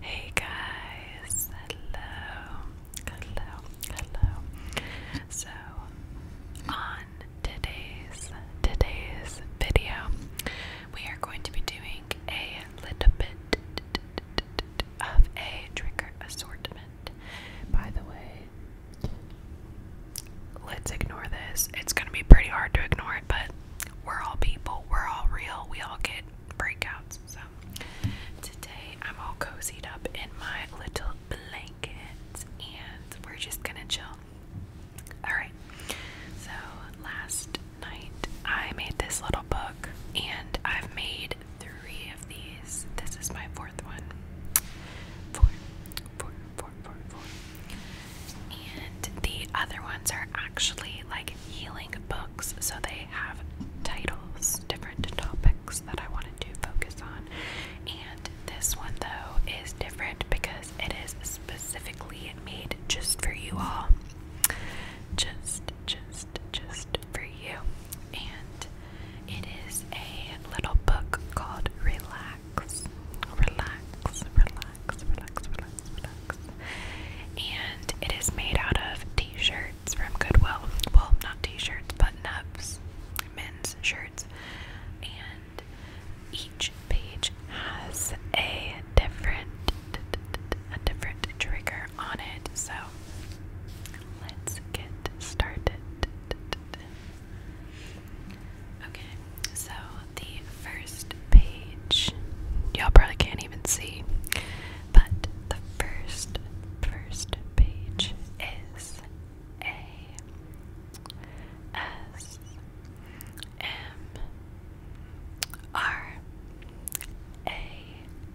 Hey guys, hello, hello, hello. So, on today's today's video, we are going to be doing a little bit of a trigger assortment. By the way, let's ignore this. It's going to be pretty hard to ignore it, but we're all people, we're all real, we all get breakouts. So today I'm all cozied up in my little blanket and we're just gonna chill. Alright, so last night I made this little book and I've made three of these. This is my fourth one. Four, four, four, four, four. And the other ones are actually like healing books, so they have titles, different topics that I wanted to focus on. And this one, though, is different because it is specifically made just for you all. Just, just, just for you. And it is a little book called Relax. Relax, relax, relax, relax. And it is made out of t-shirts from Goodwill. Well, not t-shirts, button-ups, men's shirts. And each page has a different a different trigger on it. So let's get started. Okay, so the the first page. Y'all probably can't even see, but the first first page is A S M R A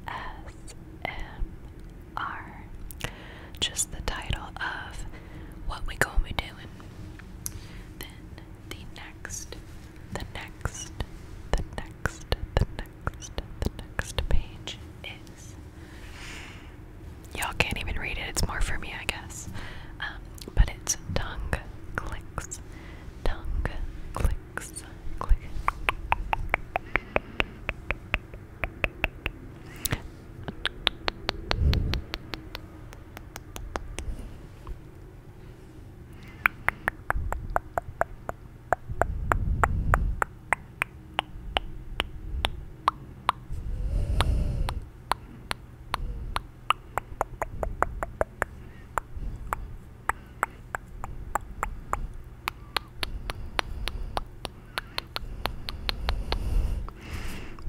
S M R. Just the title of what we are going to be doing. Then the next the next, the next, the next, the next page is. Y'all can't even read it, it's more for me, I guess. Um, but it's tongue clicks, tongue clicks, click.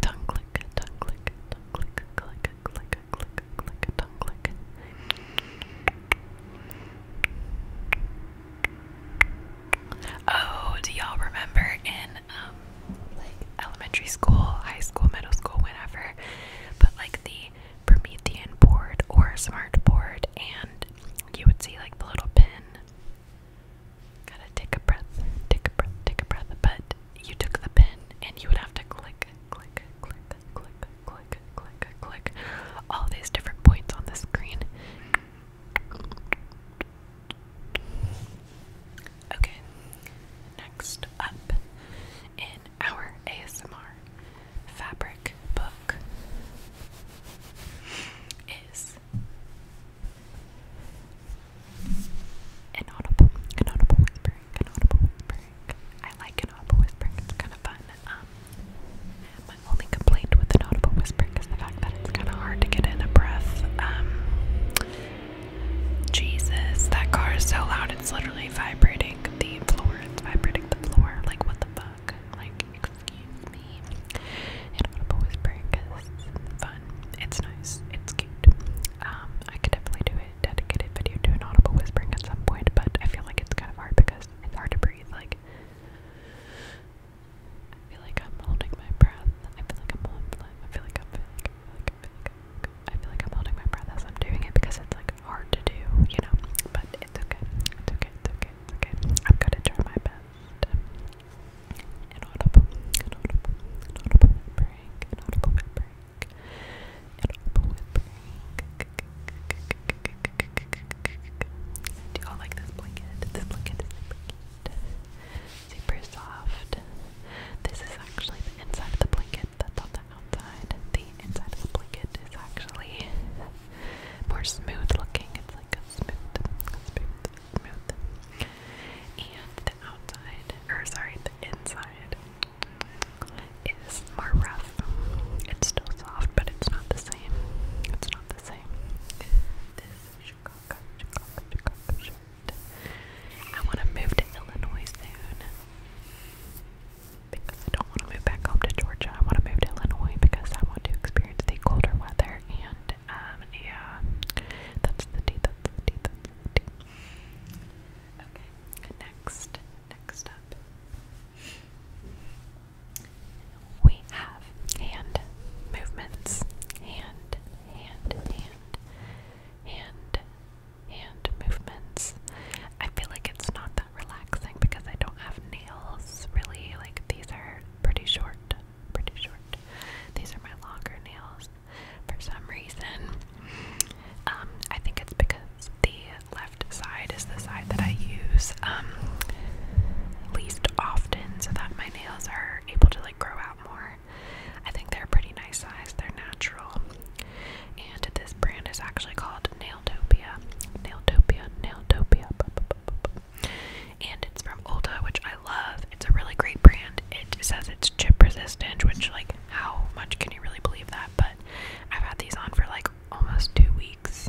Tongue click, tongue click, tongue click, click, click, click, click, tongue click. Oh, do y'all remember in um like elementary school, high school, middle school, whenever, but like the Promethean board or smart board and you would see like the little pin. Gotta take a breath, take a breath, take a breath, but you took the pin and you would have to click, click, click, click, click, click, click. All these different points on the screen. Okay, next up in our ASMR fabric book is inaudible, inaudible whisper, whispering, an I like an audible it's kind of fun. Um, my only complaint with an audible whispering is the fact that it's kind of hard to get in a breath. Um, Jesus, that car is so loud, it's literally vibrating the floor. It's vibrating the floor. Like, what the fuck? Like, excuse me. An audible whispering fun. It's nice. It's cute. Um, I could definitely do it dedicated video to an audible whispering at some point, but I feel like it's kind of hard because it's hard to breathe. Like, I feel like I'm holding my breath. I feel like I'm holding. I feel like I'm. I feel like I'm holding my breath as I'm doing it because it's like hard to do, you know. But it's okay. It's okay. It's okay. okay. I'm gonna try my best. Inaudible, inaudible, inaudible whispering, inaudible whispering, it Do y'all like this blanket? This blanket is Super soft. This is actually the inside of the blanket that's on the outside. The inside of the blanket is actually more smooth looking. It's like a smooth, smooth, smooth. And the outside, or sorry, the inside is more rough. It's still soft, but it's not the same. It's not the same. I want to move to Illinois soon because I don't want to move back home to Georgia. I want to move to Illinois because I want to experience the colder weather and um yeah, that's the D, that's the D, Okay, next, next up, we have hand movements. Hand, hand, hand, hand, hand movements. I feel like it's not that relaxing because I don't have nails really. Like, these are pretty short, pretty short. These are my longer nails for some reason. Um, I think it's because the left side is the side that I use um, least often, so that my nails are able to like grow out more. I think they're pretty nice size, they're natural. And this brand is actually called Nailtopia. Nailtopia, Nailtopia. And it's from Ulta, which I love. It's a really great brand. It says it's chip resistant, which like how much can you really believe that? But I've had these on for like almost two weeks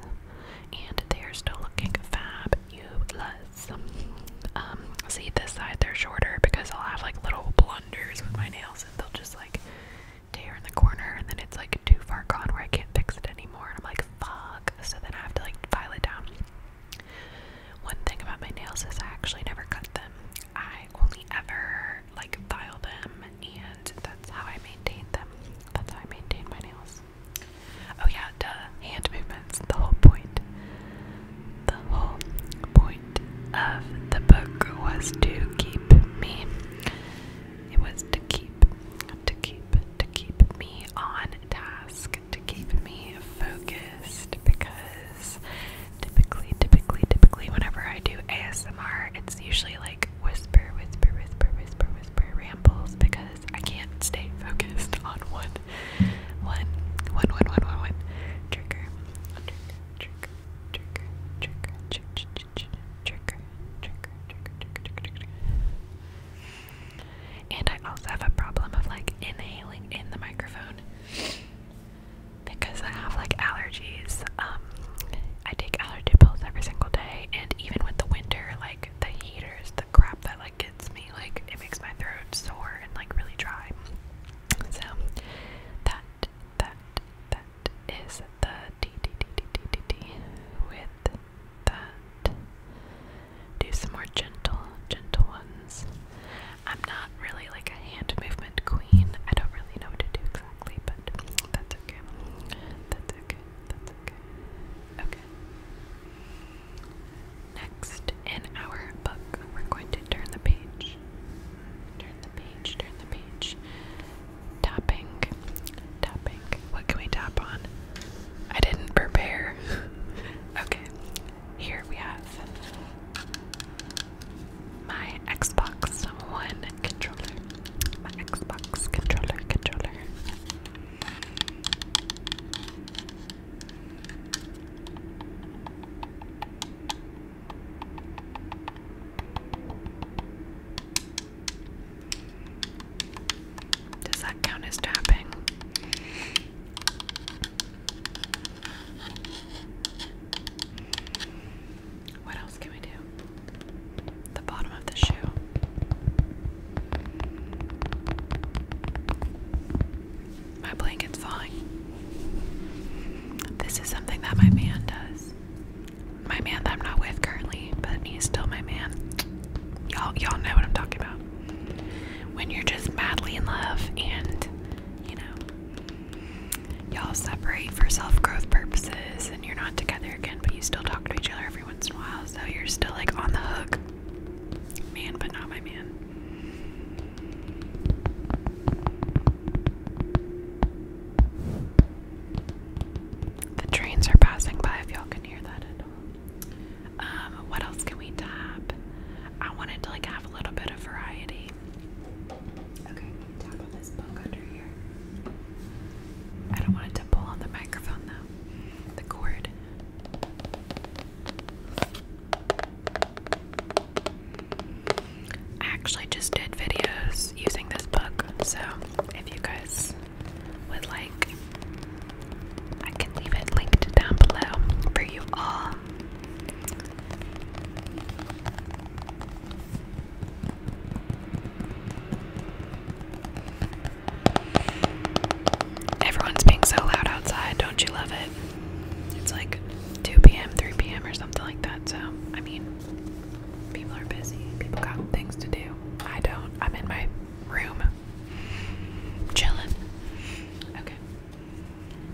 and they are still looking fab. fabulous. Um, see this side they're shorter because I'll have like little blunders with my nails and they'll just like tear in the corner and then it's like too far gone where I can't fix it anymore and I'm like fuck so then I have to like file it down. One thing about my nails is I actually never cut them. I I only ever like file them and that's how I maintain them. That's how I maintain my nails. Oh yeah, duh. Hand movements, the whole point. The whole point of the book was to keep me. It was to keep, to keep, to keep me on task, to keep me focused because is typically, typically, typically, whenever I do ASMR, it's usually like whisper, whisper, whisper, whisper, whisper rambles because I can't stay focused on one, one, one, one, one, one, one trigger, trigger, trigger, trigger, trigger, trigger, trigger, trigger, trigger, trigger, trigger. And I also have a problem of like inhaling in the microphone because I have like allergies. Um, I take allergy pills every single day, and even with the winter, like the heaters, the crap that like gets me, like it makes my throat sore and like really dry. So that that that is the d d d d d d d with that. Do some more gentle, gentle ones. I'm not really like a hand movement queen. I don't really know what to do exactly, but that's okay. That's okay. That's okay. Okay. Next in our book, we're going to turn the page. Turn the page, turn the page. Tapping. Tapping. What can we tap on? I didn't prepare. okay. Here we have my Xbox One controller. My Xbox controller controller. Does that count as tapping? What else can we do? The bottom of the shoe. My blanket's falling. This is something that my man does. My man that I'm not with currently, but he's still my man. Y'all y'all know what I'm talking about. When you're just madly in love and you know, y'all separate for self growth purposes and you're not together again, but you still talk to each other every once in a while, so you're still like on the hook. Man, but not my man. The trains are passing by if y'all can hear that at all. Um, what else can we tap? I wanted to like have a little bit of variety. Okay, tap on this book under here. I don't want it to pull on the microphone though. The cord. I actually just did videos using this book, so if you guys would like, I can leave it linked down below for you all Everyone's being so loud outside, don't you love it? It's like 2 p.m., 3 p.m., or something like that. So, I mean, people are busy, people got things to do. I don't. I'm in my room chilling. Okay.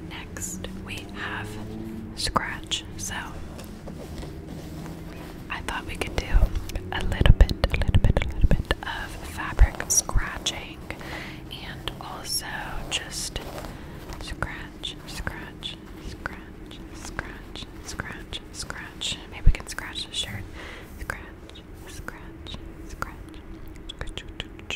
Next, we have scratch. So I thought we could do a little bit, a little bit, a little bit of fabric scratching and also just scratch, scratch, scratch, scratch, scratch, scratch. Maybe we can scratch the shirt. Scratch, scratch, scratch. Scratch,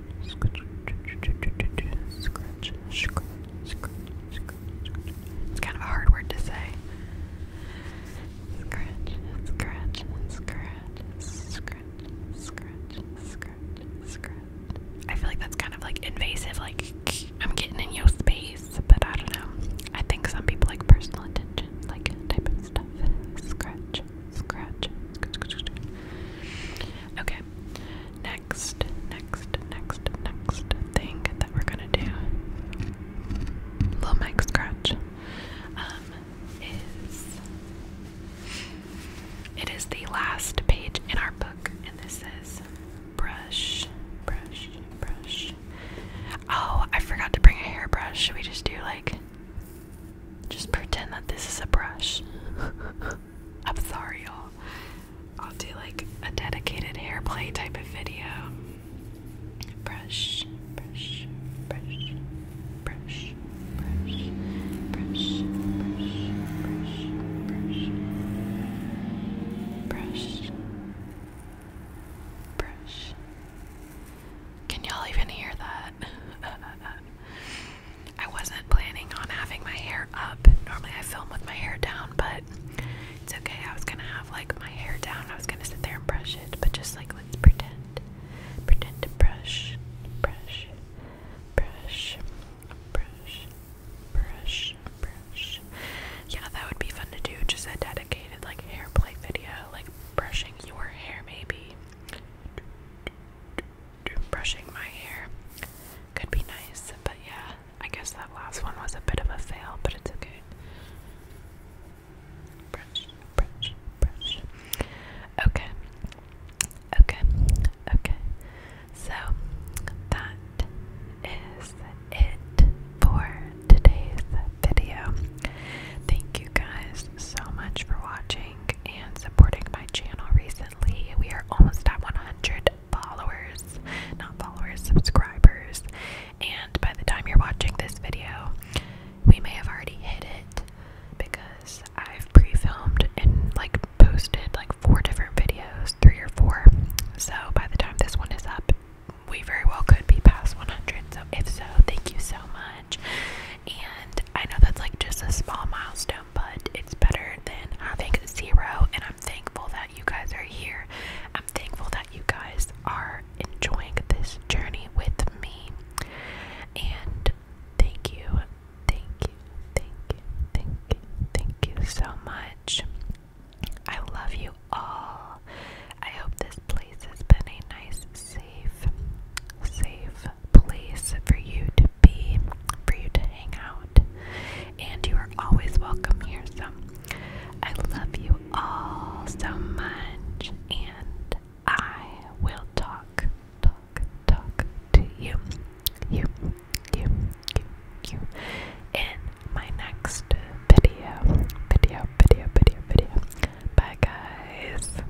Scratch, scratch, scratch, scratch, scratch. It's kind of a hard word to say. Scratch, scratch, scratch, scratch, scratch, scratch, scratch. I feel like that's kind of like invasive, like I'm getting in your space, but I don't know. I think some people like personal attention, like type of stuff. Scratch, scratch, scratch, scratch. Okay. Okay. Next, next, next, next thing that we're gonna do. Little mic scratch. Um, is it is the last page in our book, and this is brush, brush, brush. Oh, I forgot to bring a hairbrush. Should we just do like just pretend that this is a brush? I'm sorry, y'all. I'll do like a dedicated hair play type of video. Brush, brush, brush, brush, brush, brush, brush, brush, brush, brush, brush. Can y'all even hear that? I wasn't planning on having my hair up. Normally I film with my hair down, but it's okay. I was gonna have like my hair down. I was gonna sit there and brush it, but just like let's pretend. Pretend to brush, brush, brush, brush, brush, brush. Yeah, that would be fun to do. Just a dedicated like hair play video, like brushing your hair maybe brushing my hair could be nice, but yeah, I guess that last one was a bit of a fail, but it's okay. Brush, brush, brush. Okay, okay, okay. So that is it for today's video. Thank you guys so much for watching and supporting my channel recently. We are almost at 100 followers, not followers, subscribers. And by the time you're watching this video, we may have already hit it because I've pre filmed and like posted like four different videos, three or four. So by the time this one is up, we very well could be past 100. So if so, thank you so much. And I know that's like just a small milestone, but it's better than having zero. And I'm thankful that you guys are here. I'm thankful that you guys are enjoying this journey with me. And thank you, thank you, thank you, thank you, thank you so much. I love you all. I hope this place has been a nice, safe, safe, place for you to be, for you to hang out. And you are always welcome here. So I love you all so much. And I will talk, talk, talk to you, you, you, you, you in my next video. Video, video, video, video. Bye, guys.